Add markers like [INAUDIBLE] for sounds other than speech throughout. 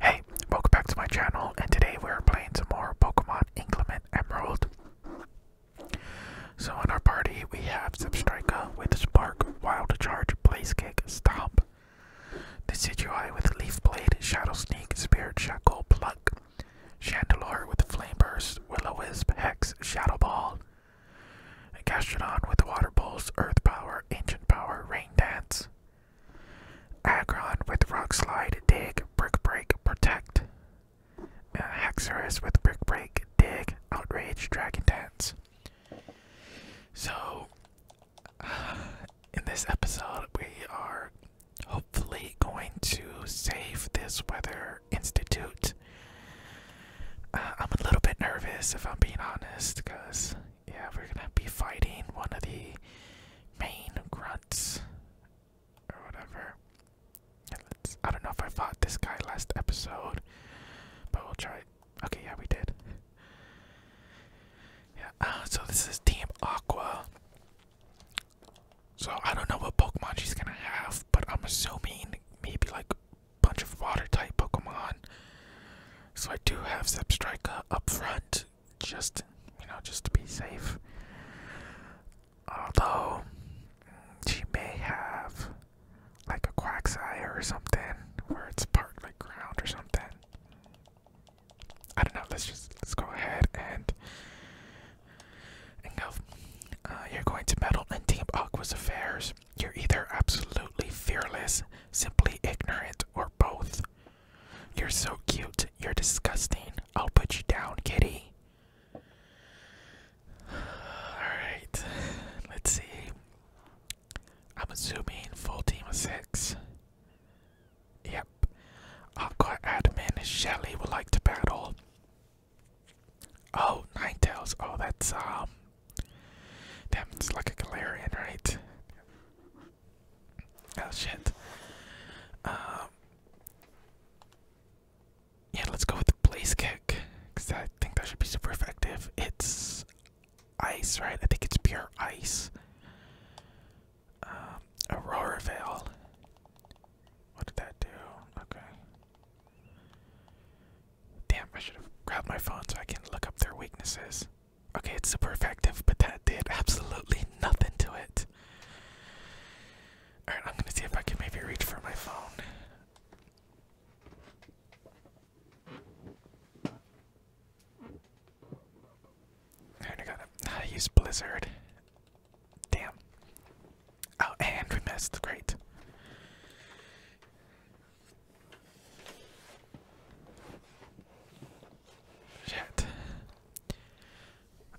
Hey, welcome back to my channel, and today we're playing some more Pokemon Inclement Emerald. So in our party, we have Zipstrika with Spark, Wild Charge, Blaze Kick, Stomp, Decidueye with Leaf Blade, Shadow Sneak, Spirit Shackle, Pluck, Chandelure with Flame Burst, Willow wisp Hex, Shadow Ball, Gastrodon with Water Pulse, Earth Power, Ancient Power, Rain Dance, Agron with Rock Dig, Brick Protect. Uh, with Brick Dig, Outrage, Dragon Dance. So, [SIGHS] in this episode, we are hopefully going to save this Weather Institute. Uh, I'm a little bit nervous if I'm being honest because yeah, we're gonna be fighting one of the main grunts or whatever. I don't know if I fought this guy last episode, but we'll try. Okay, yeah, we did. Yeah, uh, so this is Team Aqua. So I don't know what Pokemon she's gonna have, but I'm assuming maybe like a bunch of water type Pokemon. So I do have Zepstrika up front, just you know just to be safe. Although she may have like a quack eye or something where it's partly ground or something. I don't know. Let's just let's go ahead and go. Uh, you're going to meddle in Team Aqua's affairs. You're either absolutely fearless, simply ignorant, or both. You're so cute. You're disgusting. I'll put you down, kitty. [SIGHS] Alright, let's see. I'm assuming full team of six. Yep. I've Aqua Admin Shelly would like to battle. Oh, Night Ninetales. Oh, that's, um. That's like a Galarian, right? Oh shit. Um, yeah, let's go with the blaze kick because I think that should be super effective. It's ice, right? I think it's pure ice. Um, Aurora Veil. What did that do? Okay. Damn, I should have grabbed my phone so I can look up their weaknesses. Okay, it's super effective, but that did absolutely nothing to it. Alright, I'm gonna see if I can maybe reach for my phone. Alright, I got it. How ah, to Blizzard. Damn. Oh, and we missed. Great. Shit.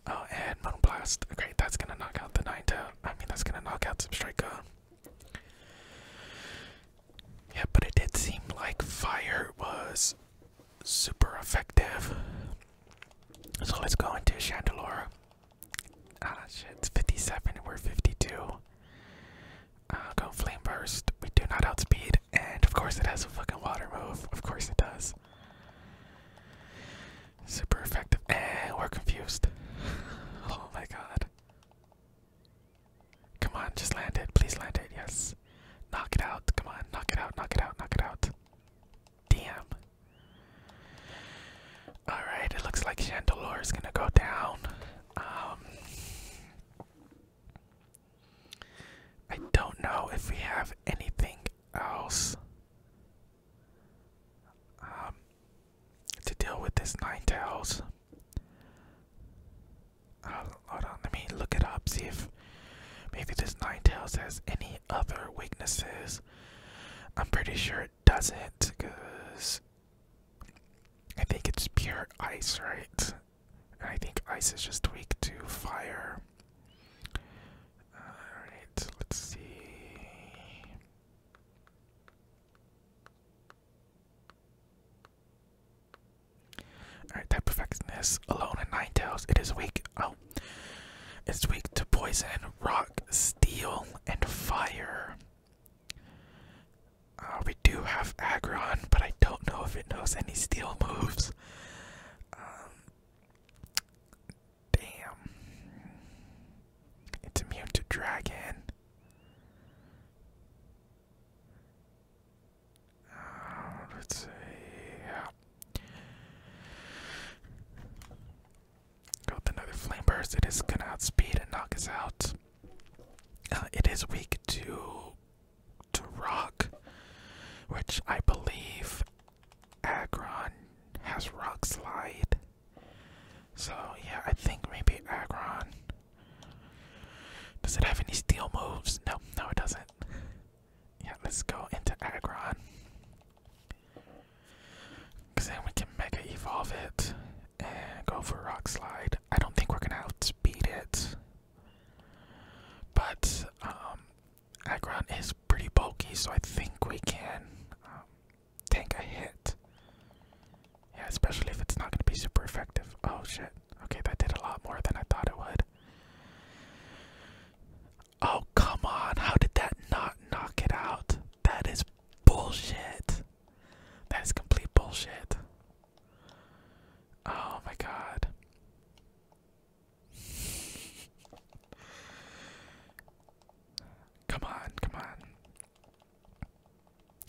Oh, and Moonblast. Great, that's gonna knock out the Ninetale. I mean, that's gonna knock out some Substrika. Yeah, but it did seem like Fire was super effective. So let's go into Chandelure. Ah, shit, it's 57 and we're 52. Uh, go flame burst. We do not outspeed, and of course it has a fucking water move. Of course it does. Super effective, and we're confused. [SIGHS] oh my god! Come on, just land it. Please land it. Yes. Knock it out. Come on, knock it out. Knock it out. Knock it out. Damn. Alright, it looks like Chandelure is gonna go down. Um I don't know if we have anything else um, to deal with this nine tails. Uh, hold on, let me look it up, see if maybe this nine tails has any other weaknesses. I'm pretty sure it doesn't, because I think it's pure ice, right? I think ice is just weak to fire. Alright, let's see. Alright, type effectiveness alone in nine tails. It is weak. Oh. It's weak to poison, rock, steel, and fire. Uh, we do have Aggron, but I don't know if it knows any steel moves. Um, damn. It's immune to dragon. Uh, let's see. Yeah. another flame burst. It is gonna outspeed and knock us out. Uh, it is weak to to rock, which I believe Agron has rock slide. So yeah, I think maybe Agron. Does it have any steel moves? No, no, it doesn't. Yeah, let's go into Agron. Cause then we can mega evolve it and go for rock slide. I don't think we're gonna outspeed it. But um, is pretty bulky, so I think we can um, take a hit. Yeah, especially if it's not going to be super effective. Oh shit. Okay, that did a lot more than I thought it would. Oh, come on. How did that not knock it out? That is bullshit. That is complete bullshit. Oh my god. Come on, come on.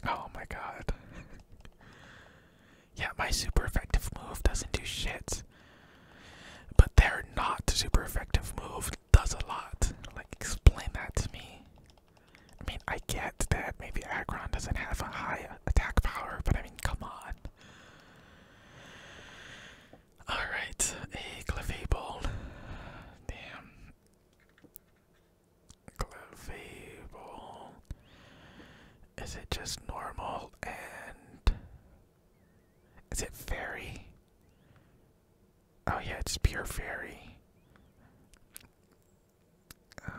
Oh my god. [LAUGHS] yeah, my super effective move doesn't do shit. But their not super effective move does a lot. Like, explain that to me. I mean, I get that maybe Agron doesn't have a high attack power, but I mean, come on. Alright, a Clefable. Damn. Clefable. Is it just normal and. Is it fairy? Oh, yeah, it's pure fairy. Uh,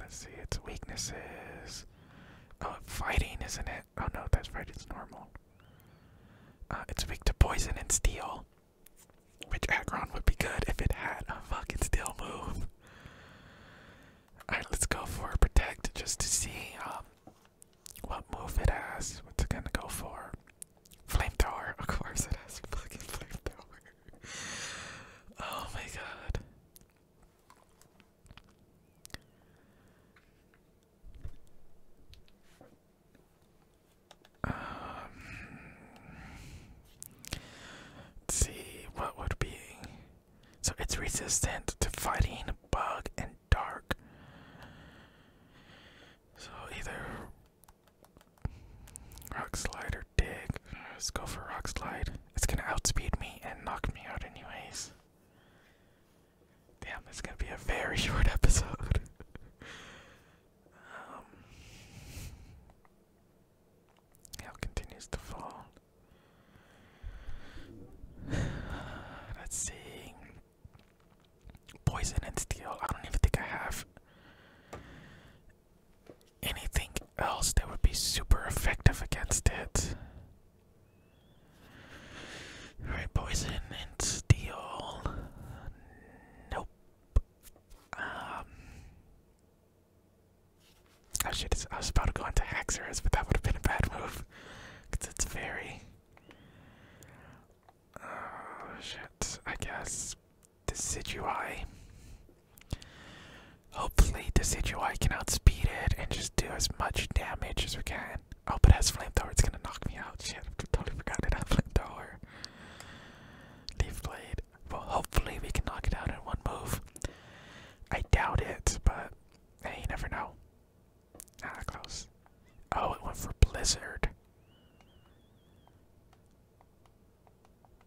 let's see, its weaknesses. Oh, fighting, isn't it? Oh no, that's right, it's normal. Uh, it's weak to poison and steel. Which Aggron would be good if it had a fucking steel move. Alright, let's go for protect just to see um, what move it has. What's it gonna go for? Flamethrower, of course it has fucking flamethrower. [LAUGHS] oh my god. Um, see what would be. So it's resistant to fighting, bug, and dark. So either rock slide or dig. Let's go for rock slide. It's gonna outspeed me and knock me out anyways. Damn, it's gonna be a very [LAUGHS] short episode. um, hail continues to fall. [SIGHS] Let's see. Poison and steel. I don't even think I have anything else that would be super effective against it. Alright, poison and steel. Nope. Um. Oh I was about to go into Haxorus, but that would have been a bad move. Because it's very. Oh shit, I guess. Decidui. Hopefully, Decidui can outspeed it and just do as much damage as we can. Oh, but it has flamethrower, it's gonna knock me out. Shit, I totally forgot it had flamethrower. Leaf blade. Well, hopefully, we can knock it out in one move. I doubt it, but hey, you never know. Ah, close. Oh, it went for Blizzard.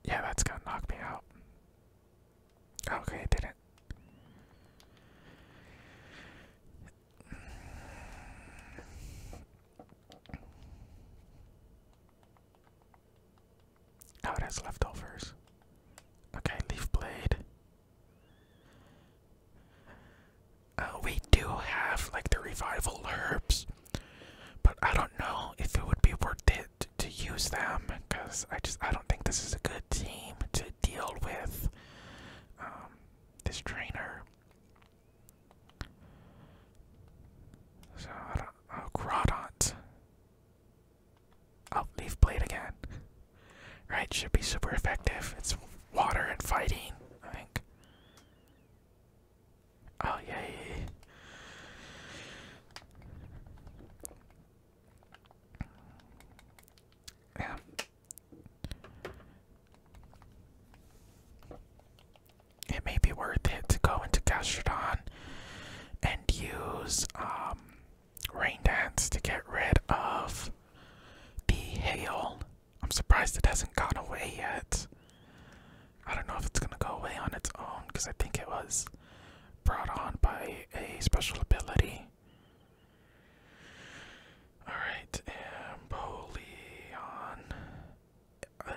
Yeah, that's gonna knock me out. Okay, didn't. Oh, it has leftovers. Okay, leaf blade. Uh, we do have like the revival herbs, but I don't know if it would be worth it to, use them because I just I don't think this is a good team to deal with um, this trainer. So I don't, oh, Grodont. Oh, Leaf Blade again. Right, should be super effective. It's water and fighting, I think. Oh yeah, It may be worth it to go into Gastrodon and use um, Rain Dance to get rid of the hail. I'm surprised it hasn't gone away yet. I don't know if it's gonna go away on its own because I think it was brought on by a special ability. Alright, Empoleon.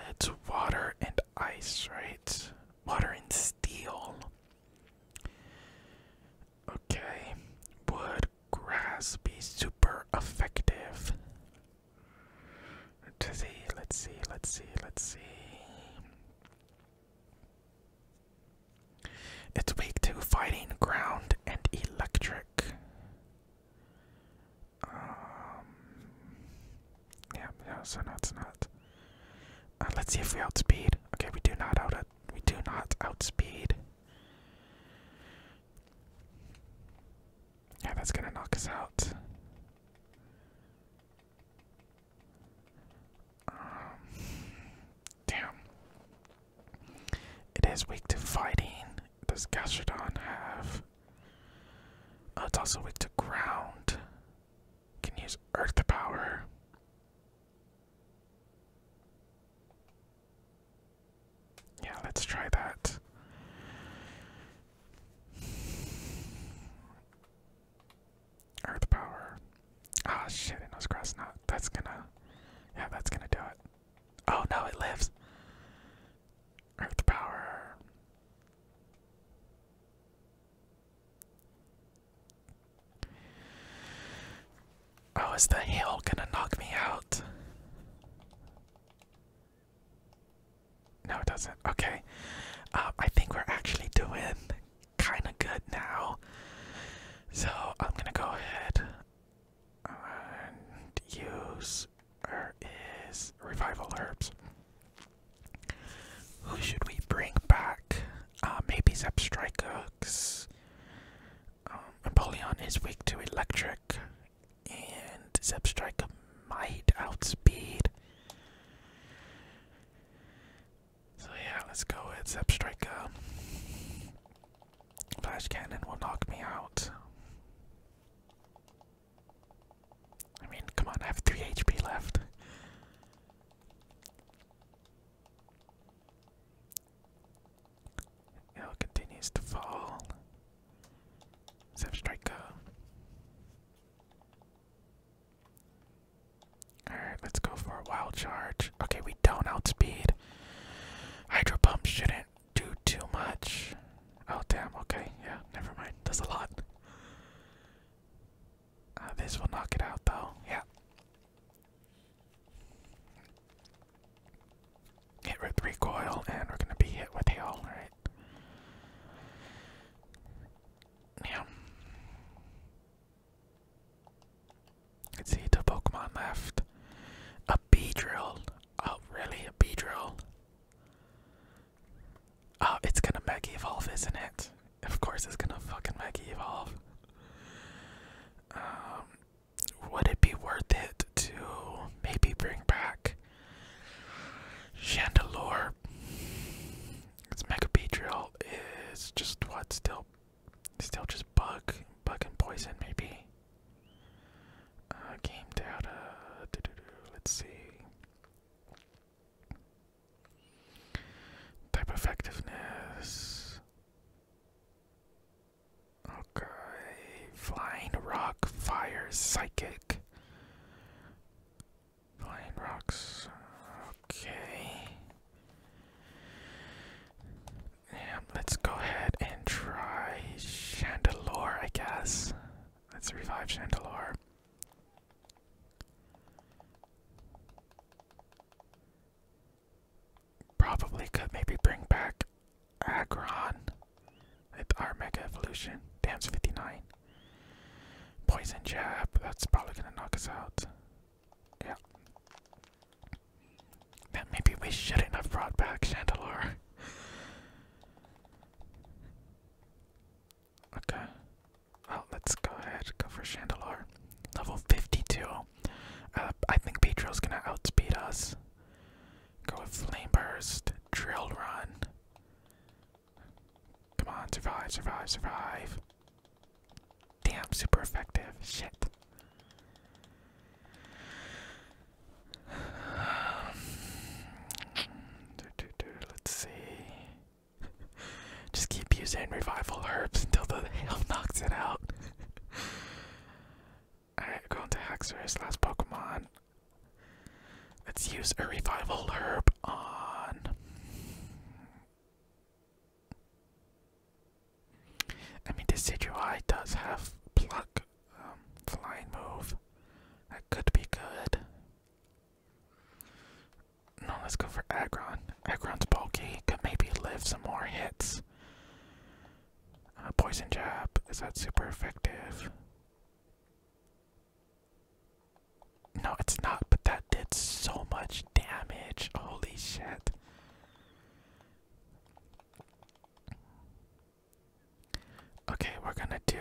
It's water and ice, right? Water and steel. Okay. Would grass be super effective? Let's see, let's see, let's see, let's see. It's weak to fighting, ground, and electric. Um, yeah, yeah, so not. it's not. Uh, let's see if we outspeed. Okay, we do not out we do not outspeed. Yeah, that's gonna knock us out. Um, damn. It is weak to fighting. Does Gastrodon have? Uh, it's also weak to ground. Can use Earth power. Yeah, let's try that. Earth power. Ah, oh, shit, it knows grass knot. That's gonna. Yeah, that's gonna do it. Oh no, it lives. Earth power. Oh, the hail gonna knock me out? No, it doesn't. Okay. Um, I think we're actually doing kind of good now. So I'm going to go ahead and use her revival herbs. Who should we bring back? Uh, maybe Zepstrika, because um, Napoleon is weak to electric, and Zepstrika might outspeed so yeah, let's go with Zep Striker. Flash Cannon will knock me out. I mean, come on, I have 3 HP left. L continues to fall. Zep Striker. Alright, let's go for a wild charge. Okay, we don't outspeed. Hydro pump shouldn't do too much. Oh damn, okay, yeah, never mind. That's a lot. Uh, this will knock it out though, yeah. Hit with recoil, and we're gonna be hit with hail, right? Yeah. let see, two Pokemon left. A Beedrill. Oh, really? A Beedrill? Oh, it's gonna Mega Evolve, isn't it? Of course it's gonna fucking Mega Evolve. Um, would it be worth it to maybe bring back Chandelure. Its megapetrial is just what? Still still just bug. Bug and poison maybe. Uh, game data let's see. Type effectiveness. Okay. Flying rock, fire, psychic. Plain rocks. Okay. let's go ahead and try Chandelure, I guess. Let's revive Chandelure. Probably could maybe bring back Agron. It's our Mega Evolution. Damns 59. Poison Jab, that's probably gonna knock us out. Yeah. maybe we shouldn't have brought back Chandelure. okay. Well, let's go ahead, go for Chandelure. Level 52. Uh, I think Beedrill's gonna outspeed us. Go with Flame Burst, Drill Run. Come on, survive, survive, survive. Damn, super effective. Shit. [SIGHS] Let's see. [LAUGHS] Just keep using revival herbs until the [LAUGHS] hell knocks it out. [LAUGHS] Alright, going to Haxorus, last Pokemon. Let's use a revival herb on. I mean, Decidueye does have pluck, um, flying move. That could be good. No, let's go for Agron. Agron's bulky, could maybe live some more hits. Uh, poison Jab, is that super effective? No, it's not, but that did so much damage. Holy shit. Okay, we're gonna do.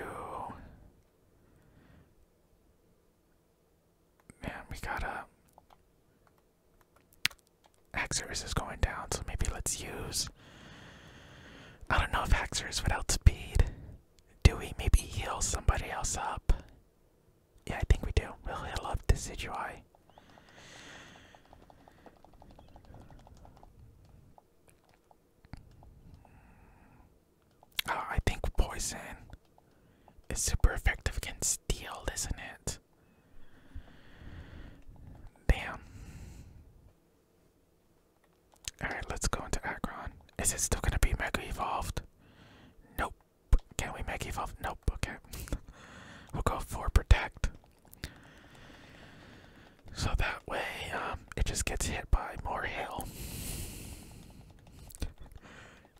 Man, we gotta. Haxorus is going down, so maybe let's use. I don't know if Haxorus would speed. Do we maybe heal somebody else up? Yeah, I think we do. We'll heal up Decidueye. Oh, ah, I think poison is super effective against steel, isn't it? Damn. Alright, let's go into Akron. Is it still gonna be Mega Evolved? Nope. Can we Mega Evolve? Nope, okay. [LAUGHS] we'll go for Protect. So that way, um, it just gets hit by more hail.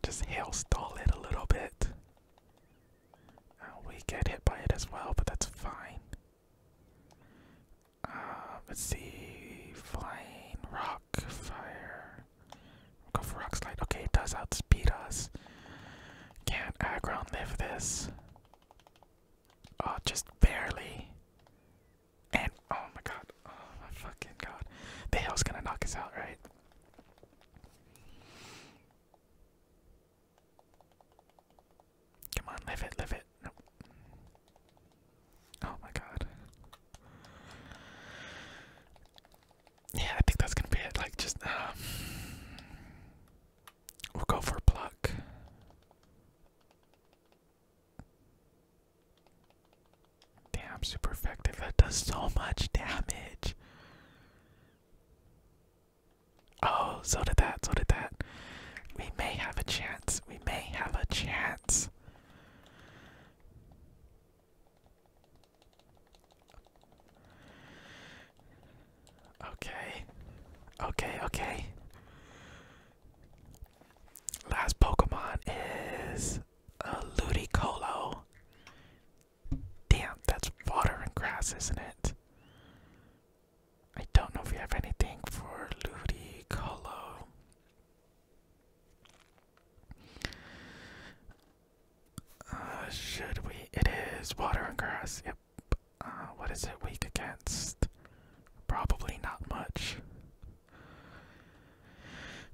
Just hail stall it a little bit. Uh, we get hit by it as well, but that's fine. Uh, let's see. Flying rock fire. go for rock Okay, it does outspeed us. Can't aggro live this. Oh, just barely. And oh my god. Oh my fucking god. The hell's gonna knock us out, right? Come on, live it, live it. Oh my god. Yeah, I think that's gonna be it. Like, just, um, we'll go for pluck. Damn, super effective. That does so much damage. Oh, so did that, so did that. We may have a chance. We may have a chance. Okay. Okay, okay. Last Pokemon is a uh, Ludicolo. Damn, that's water and grass, isn't it? I don't know if we have anything for Ludicolo. Uh, should we? It is water and grass. Yep. Uh, what is it weak against? Probably not much.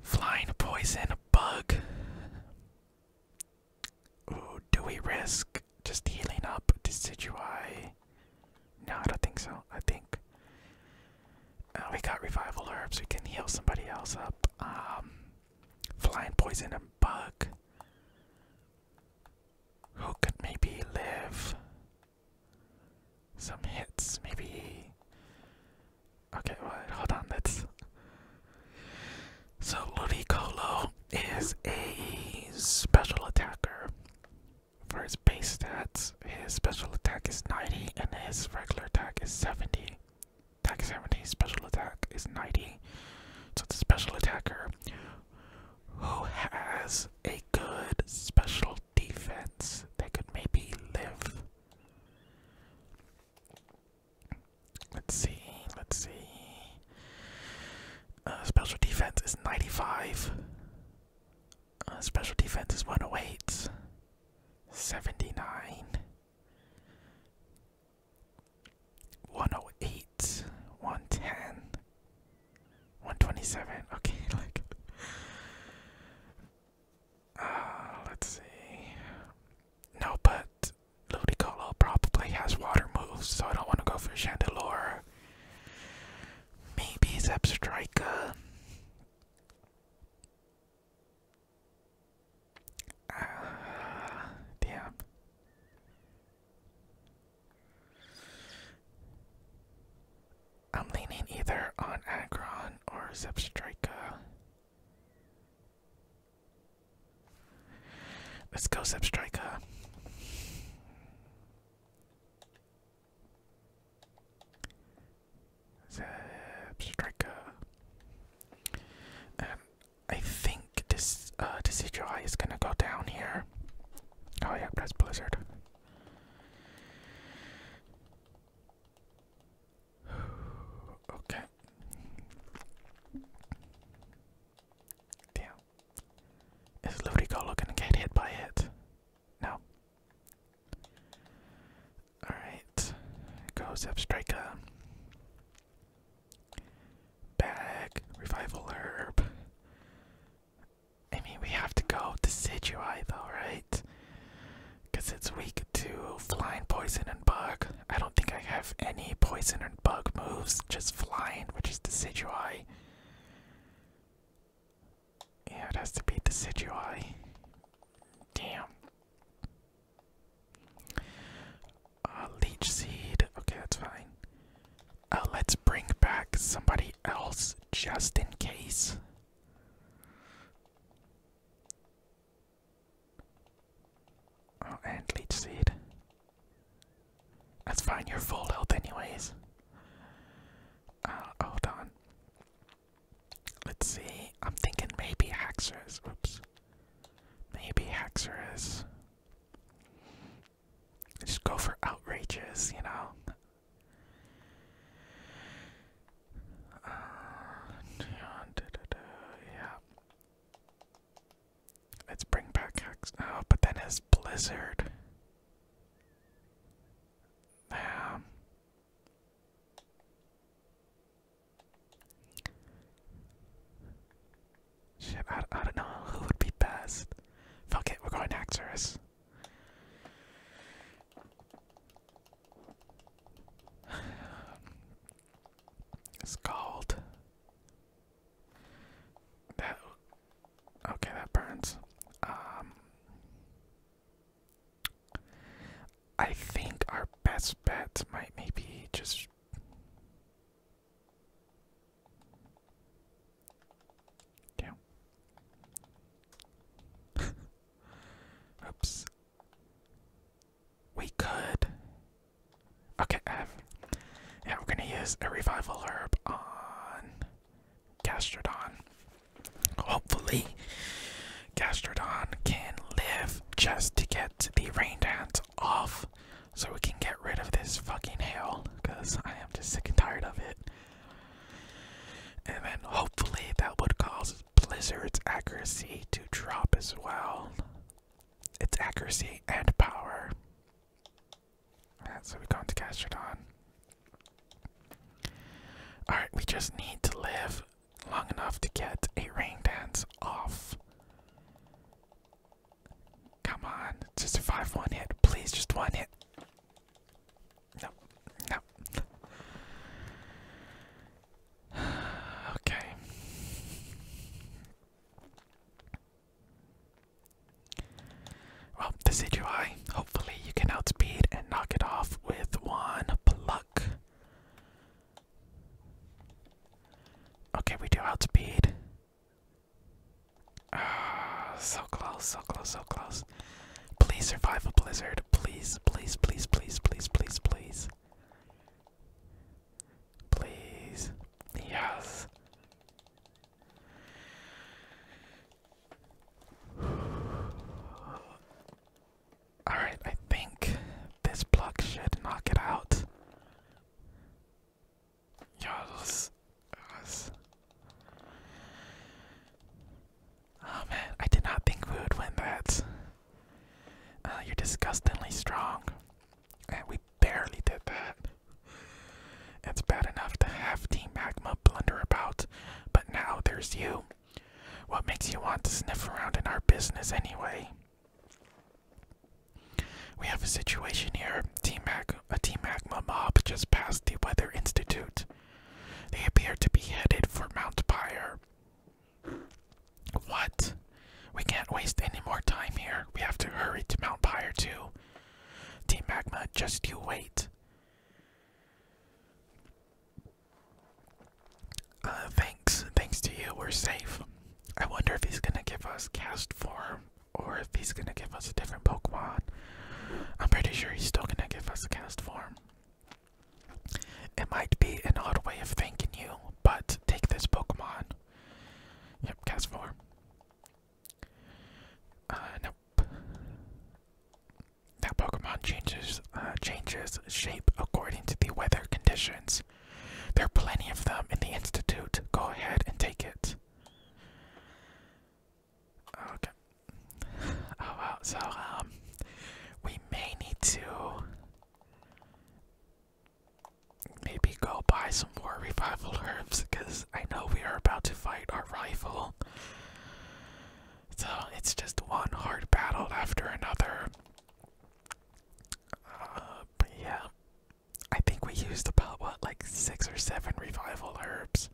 Flying poison bug. Ooh, do we risk just healing up Decidui no, I don't think so. I think uh, we got revival herbs. We can heal somebody else up. Um, flying poison bug. Who could maybe live? Some hits, maybe. Okay, well, hold on. Let's. So Ludicolo is a special attacker. For his base stats, his special attack is 90 and his regular attack is 70. Attack 70, special attack is 90. So it's a special attacker who has a good special defense that could maybe live. Let's see, let's see. Uh, special defense is 95. Uh, special defense is 108. 79. 108. 110. 127. Okay, [LAUGHS] like. Uh, let's see. No, but Ludicolo probably has water moves, so I don't want to go for Chandelure. Maybe Zepstrika. Uh, damn. I'm leaning either on Agron or Zepstrika. Let's go, Zepstrika. Zeb Striker. And I think this uh Decidueye is gonna go down here. Oh yeah, that's Blizzard. [SIGHS] okay. Damn. Is Ludicolo gonna get hit by it? No. Alright. Goes Zepstrika. Bag. Revival Herb. I mean, we have to go Decidueye though, right? Because it's weak to flying, poison, and bug. I don't think I have any poison and bug moves, just flying, which is Decidueye. Yeah, it has to be the Situai. Damn. Uh, leech seed. Okay, that's fine. Uh, let's bring back somebody else just in case. Oh, and leech seed. That's fine, you're full health anyways. Uh, hold on. Let's see. I'm thinking maybe Haxorus. Oops. Maybe Haxorus. Just go for outrages, you know. Uh, yeah. Let's bring back Hax. Oh, but then his Blizzard. Man. Shit, I, I don't know who would be best. Fuck it, we're going Axorus. [SIGHS] It's called that okay, that burns. Um I think our best bet might maybe just yeah. [LAUGHS] Oops. We could. Okay, Yeah, we're gonna use a revival herb on Gastrodon. Hopefully, Gastrodon can live just to get the rain dance off so we can get rid of this fucking hail because I am just sick and tired of it. And then hopefully that would cause Blizzard's accuracy to drop as well. Its accuracy and power so we go into Gastrodon. Alright, we just need to live long enough to get a rain dance off. Come on, just a 5 one hit. Please, just one hit. No, no. [SIGHS] okay. Well, this HUI, hopefully you can outspeed and knock it off with one pluck. Okay, we do outspeed. Ah, so close, so close, so close. Please survive a blizzard. Please, please, please, please, please, please, please. Please. Yes. Alright, I think this block should knock it out. Yes. Oh man, I did not think we would win that. Uh, you're disgustingly strong. we barely did that. It's bad enough to have Team Magma blunder about, but now there's you. What makes you want to sniff around in our business anyway? We have a situation here. Team Mag a Magma mob just passed the Weather Institute. They appear to be headed for Mount Pyre. What? We can't waste any more time here. We have to hurry to Mount Pyre too. Team Magma, just you wait. Uh, thanks, thanks to you, we're safe. I wonder if he's gonna give us cast form or if he's gonna give us a different Pokemon. I'm pretty sure he's still gonna give us a cast form. It might be an odd way of thanking you, but take this Pokemon. Yep, cast form. Uh, nope. That Pokemon changes uh, changes shape according to the weather conditions. There are plenty of them in the institute. Go ahead and take it. Okay. [SIGHS] Oh well. So um, we may need to maybe go buy some more revival [LAUGHS] herbs because I know we are about to fight our rival. So it's just one hard battle after another. Uh, but yeah, I think we used about what, like six or seven revival herbs?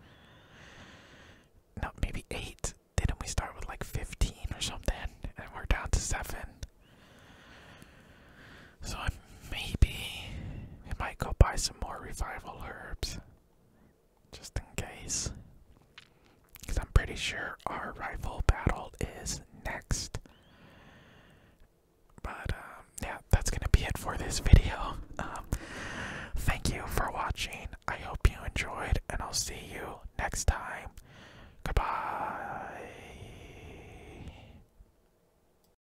No, maybe eight. Didn't we start with like 15 or something? And we're down to seven. So maybe we might go buy some more revival herbs. Just in case. I'm pretty sure our rifle battle is next. But, um, yeah, that's gonna be it for this video. Um, thank you for watching. I hope you enjoyed, and I'll see you next time. Goodbye.